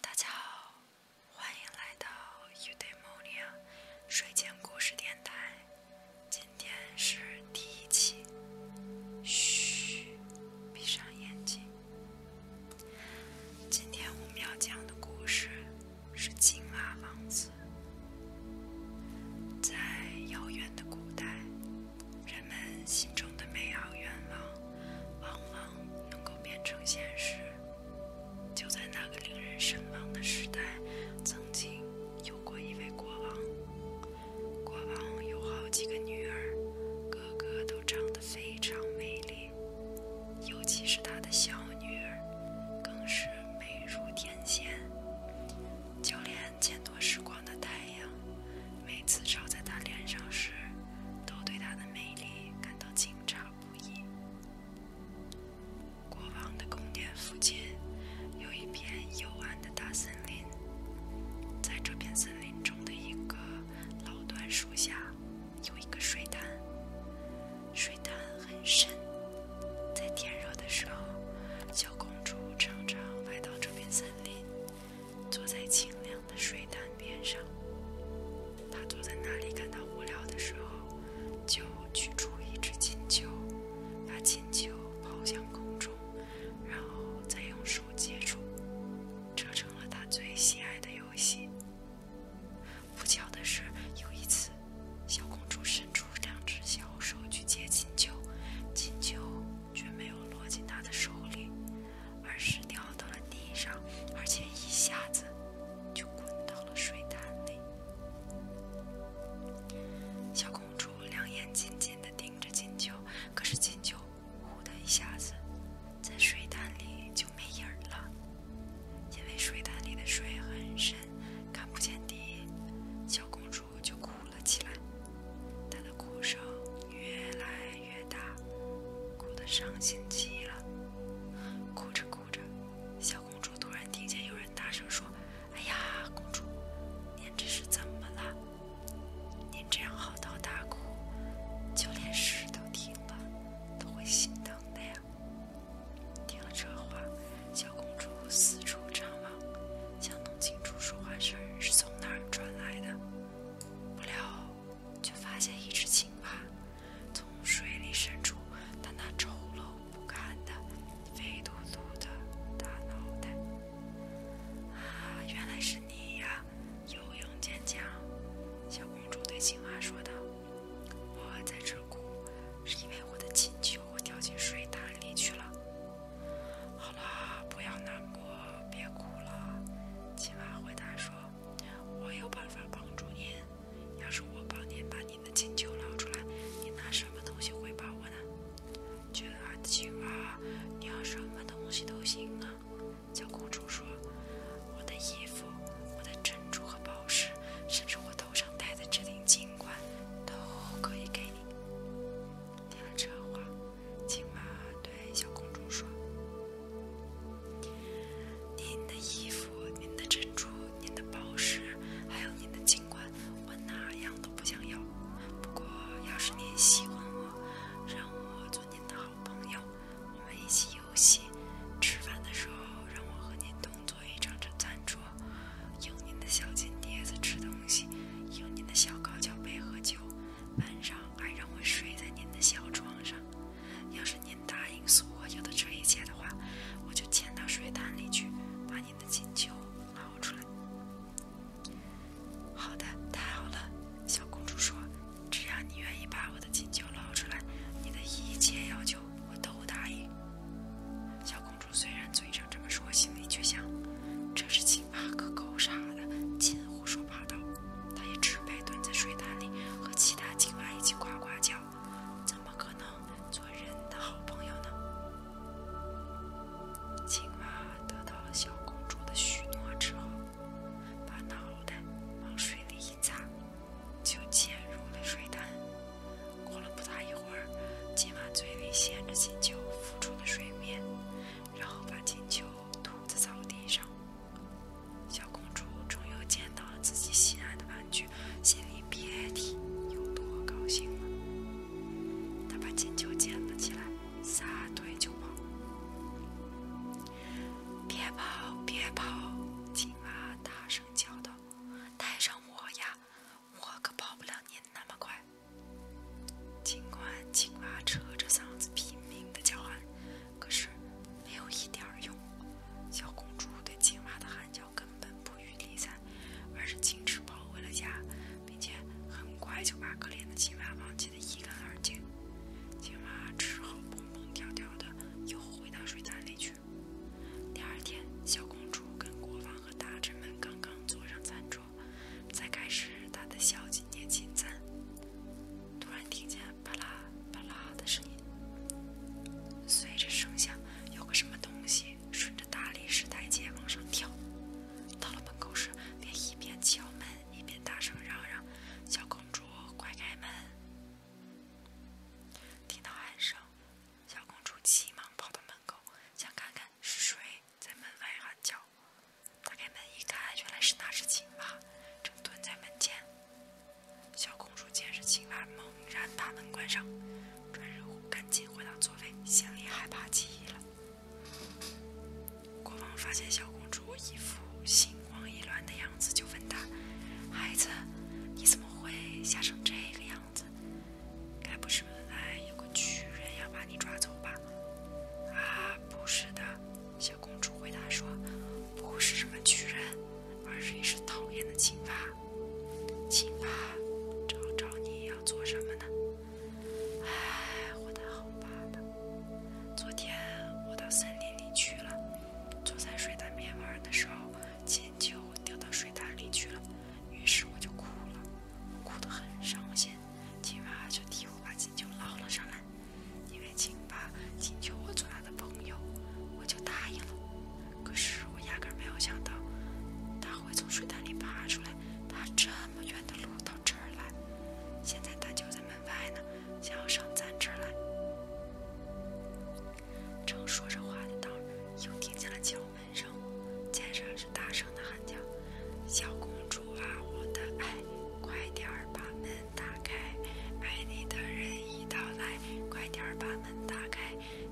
大家好，欢迎来到 u d e m o n i a 睡前故事电台。今天是第一期。嘘，闭上眼睛。今天我们要讲的故事是青蛙王子。在遥远的古代。人们心中的美好愿望，往往能够变成现实。就在那个令人神往的时代，曾经有过一位国王。国王有好几个女儿，个个都长得非常美丽，尤其是他的小女儿，更是美如天仙。就连见多识广的太阳。每次照在她脸上时，都对她的美丽感到惊诧不已。国王的宫殿附近有一片幽暗的大森林，在这片森林中的一个老椴树下有一个水潭，水潭很深。在天热的时候，小公主常常来到这片森林。坐在清凉的水潭边上，他坐在那里感到无聊的时候，就取出一只金球，把金球抛向空中，然后再用手接住，这成了他最喜爱的游戏。不巧的是，有一次，小公主伸出两只小手去接金球，金球……却没有落进他的手里，而是掉到了地上，而且一下子就滚到了水潭里。小公主两眼紧紧地盯着金球，可是金球忽的一下子在水潭里就没影儿了，因为水潭里的水很深，看不见底，小公主就哭了。了起来，她的哭声越来越大，哭得伤心极了。哭着哭着，小公主突然听见有人大声说：“哎呀，公主，您这是怎么了？您这样嚎啕大哭，就连事都听了都会心疼的呀！”听了这话，小公主四处张望，想弄清楚说话声是从哪儿传来的。不料，却发现一只青蛙从水里伸出它那丑陋不堪的、肥嘟嘟的大脑袋。啊，原来是你呀！游泳健将小公主对青蛙说道：“我在这哭，是因为我的金球掉进水潭里去了。”好了，不要难过，别哭了。青蛙回答说：“我有办法帮助您。要是我帮您把您的金球捞出来，您拿什么东西回报我呢？”“这青蛙，你要什么东西都行啊。”小公主说：“我的衣服、我的珍珠和宝石，甚至我头上戴的这顶金冠，都可以给你。”听了这话。青蛙对小公主说：“您的衣服、您的珍珠、您的宝石，还有您的金冠，我哪样都不想要。不过，要是您喜欢我，让我做您的好朋友，我们一起游戏；吃饭的时候，让我和您同坐一张这餐桌，用您的小金碟子吃东西，用您的小高脚杯喝酒。”晚上还让我睡在您的小床上，要是您答应所有的这一切的话，我就潜到水潭里去，把您的金球捞出来。好的，太好了，小公主说，只要你愿意把我的金球捞出来，你的一切要求我都答应。小公主虽然嘴上这么说，心里却想，这是金。啊，个狗傻的，尽胡说八道。他也只配蹲在水潭里和其他青蛙一起呱呱叫，怎么可能做人的好朋友呢？青蛙得到了小公主的许诺之后，把脑袋往水里一砸，就潜入了水潭。过了不大一会儿，青蛙嘴里衔着金球浮出了水面。然后把金球吐在草地上，小公主终于捡到了自己心爱的玩具，心里别提有多高兴了。她把金球捡了起来，撒腿就跑。别跑，别跑！青蛙大声叫道：“带上我呀，我可跑不了你。”那么快！尽管青蛙扯着嗓子拼命的叫喊，可是没有一点儿用。小公主对青蛙的喊叫根本不予理睬，而是径直跑回了家，并且很快就把可怜的青蛙忘记的一干二净。青蛙只好蹦蹦跳跳的又回到水潭里去。第二天，小公主跟国王和大臣们刚刚坐上餐桌。在开始他的小几年金赞，突然听见啪啦啪啦的声音，随着声响，有个什么东西顺着大理石台阶往上跳，到了门口时，便一边敲门一边大声嚷嚷：“小公主，快开门！”听到喊声，小公主急忙跑到门口，想看看是谁。在门外喊叫，打开门一看，原来是那只青蛙，正蹲在门前。小公主见是青蛙，猛然把门关上，转身赶紧回到座位，心里害怕极了。国王发现小公主一副心慌意乱的样子，就问她：“孩子，你怎么会吓成这个样子？”该不是。原来有个巨人要把你抓走吧？啊，不是的，小公主回答说，不是什么巨人，而是一只讨厌的青蛙。青蛙找找你要做什么呢？哎，我的好爸爸，昨天我到森林里去了，坐在水潭边玩的时候，金球掉到水潭里去了，于是我就哭了，哭得很伤心。青蛙就替我把金球捞了上来，因为青蛙请求我做他的朋友，我就答应了。可是我压根儿没有想到，他会从水潭里爬出来，爬这么远的路到这儿来。现在他就在门外呢，想要上咱这儿来。正说着话的呢，又听见了敲门。人生，剑上是大声的喊叫：“小公主啊，我的爱，快点儿把门打开，爱你的人已到来，快点儿把门打开，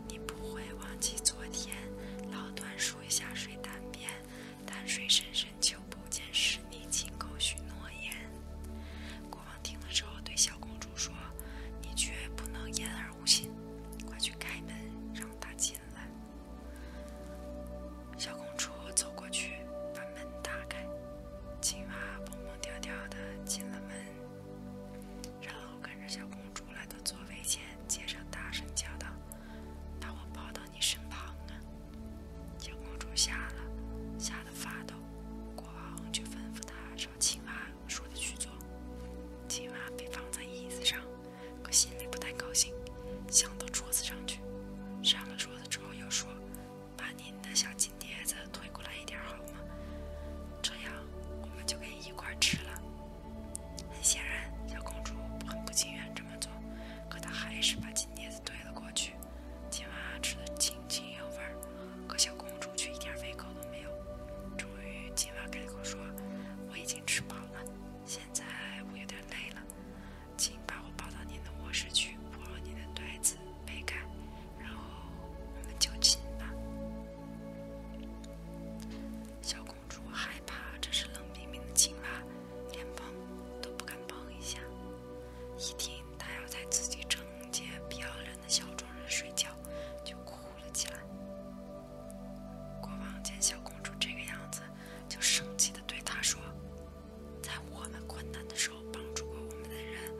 你不会忘记昨天。”老段数下水潭边，但水深深秋不见，使你亲口许诺言。国王听了之后对小公主说：“你绝不能言而无信，快去开门，让大进。”进来，小公主走过去，把门打开。青蛙蹦蹦跳跳的进了门，然后跟着小公主来到座位前，接着大声叫道：“把我抱到你身旁啊！”小公主吓了，吓得发抖。国王就吩咐她找青蛙说的去做。青蛙被放在椅子上。可心里不太高兴，想到桌子上去。上了桌子之后，又说：“把您的小金碟子推过来一点好吗？这样我们就可以一块吃了。”很显然，小公主很不情愿这么做，可她还是把金碟子推了过去。金蛙吃的津津有味，可小公主却一点胃口都没有。终于，金蛙开口说：“我已经吃饱了，现在我有点累了，请把我抱到您的卧室去，铺好你的被子、被盖，然后我们就亲吧。小公主害怕这是冷冰冰的青蛙，连碰都不敢碰一下。一听她要在自己整洁漂亮的小床上睡觉，就哭了起来。国王见小公主这个样子，就生气地对她说：“在我们困难的时候帮助过我们的人，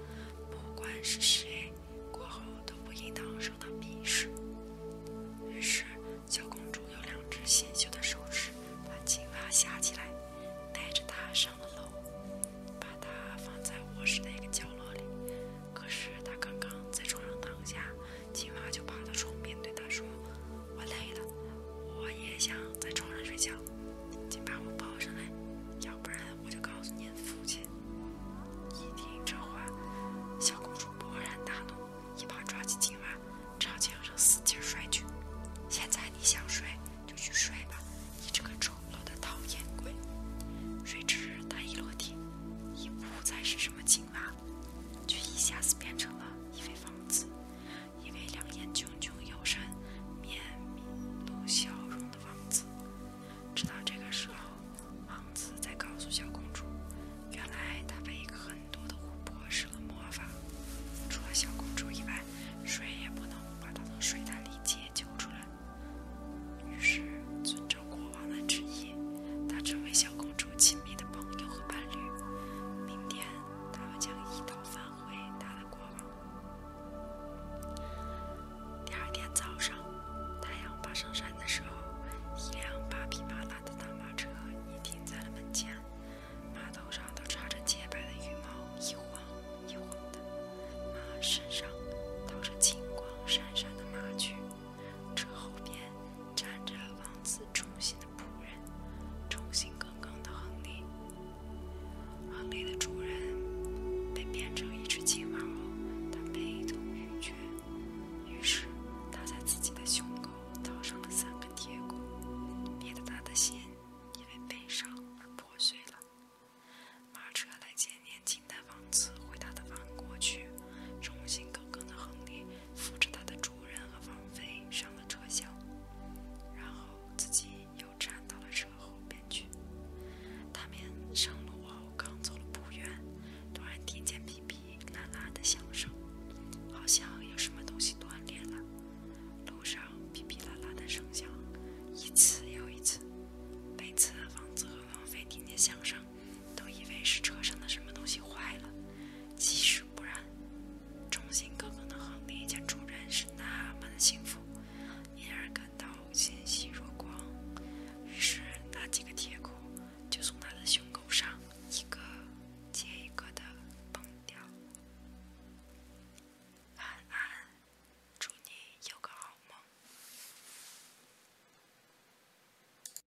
不管是谁，过后都不应当受到鄙视。”于是，小公主用两只纤秀的手指把青蛙夹起来，带着它上了楼，把它放在卧室的一个角落里。可是，她刚刚在床上躺下。青蛙就跑到床边，对他说：“我累了，我也想在床上睡觉，请把我抱上来，要不然我就告诉您的父亲。”一听这话，小公主勃然大怒，一把抓起青蛙，朝墙上死劲摔去。现在你想睡就去睡吧，你这个丑陋的讨厌鬼！谁知他一落地，已不再是什么青蛙。却一下子变成了一位王子，一位两眼炯炯有神、面露笑容的王子。直到这个时候，王子才告诉小公主，原来他被一个很多的巫婆施了魔法，除了小公主以外，谁也不能把他从水潭里解救出来。于是，尊者国。国王之夜，意，他成为小公主亲密的朋友和伴侣。明天，他们将一道返回她的国王。第二天早上，太阳爬上山的时候，一辆八匹马拉的大马车已停在了门前，马头上都插着洁白的羽毛，一晃一晃的；马身上套着金光闪闪的马具。车后边站着王子忠心的仆人，忠心耿耿的亨利。亨利的主人被变成一只青蛙毛，他悲痛欲绝，于是他在自己的胸口掏上了三根铁骨，捏得他的心因为悲伤而破碎了。马车来接年轻的王子回他的王国去，忠心耿耿的亨利。扶着他的主人和王妃上了车厢，然后自己又站到了车后边去。他们上路后，刚走了不远，突然听见噼噼啦啦的响声，好像有什么东西断裂了。路上噼噼啦啦的声响，一次又一次。每次王子和王妃听见响声。都以为是车上的什么东西坏了，其实不然。忠心耿耿的亨利见主人是那么的幸福，因而感到欣喜若狂。于是那几个铁钩就从他的胸口上一个接一个的崩掉。安安，祝你有个好梦。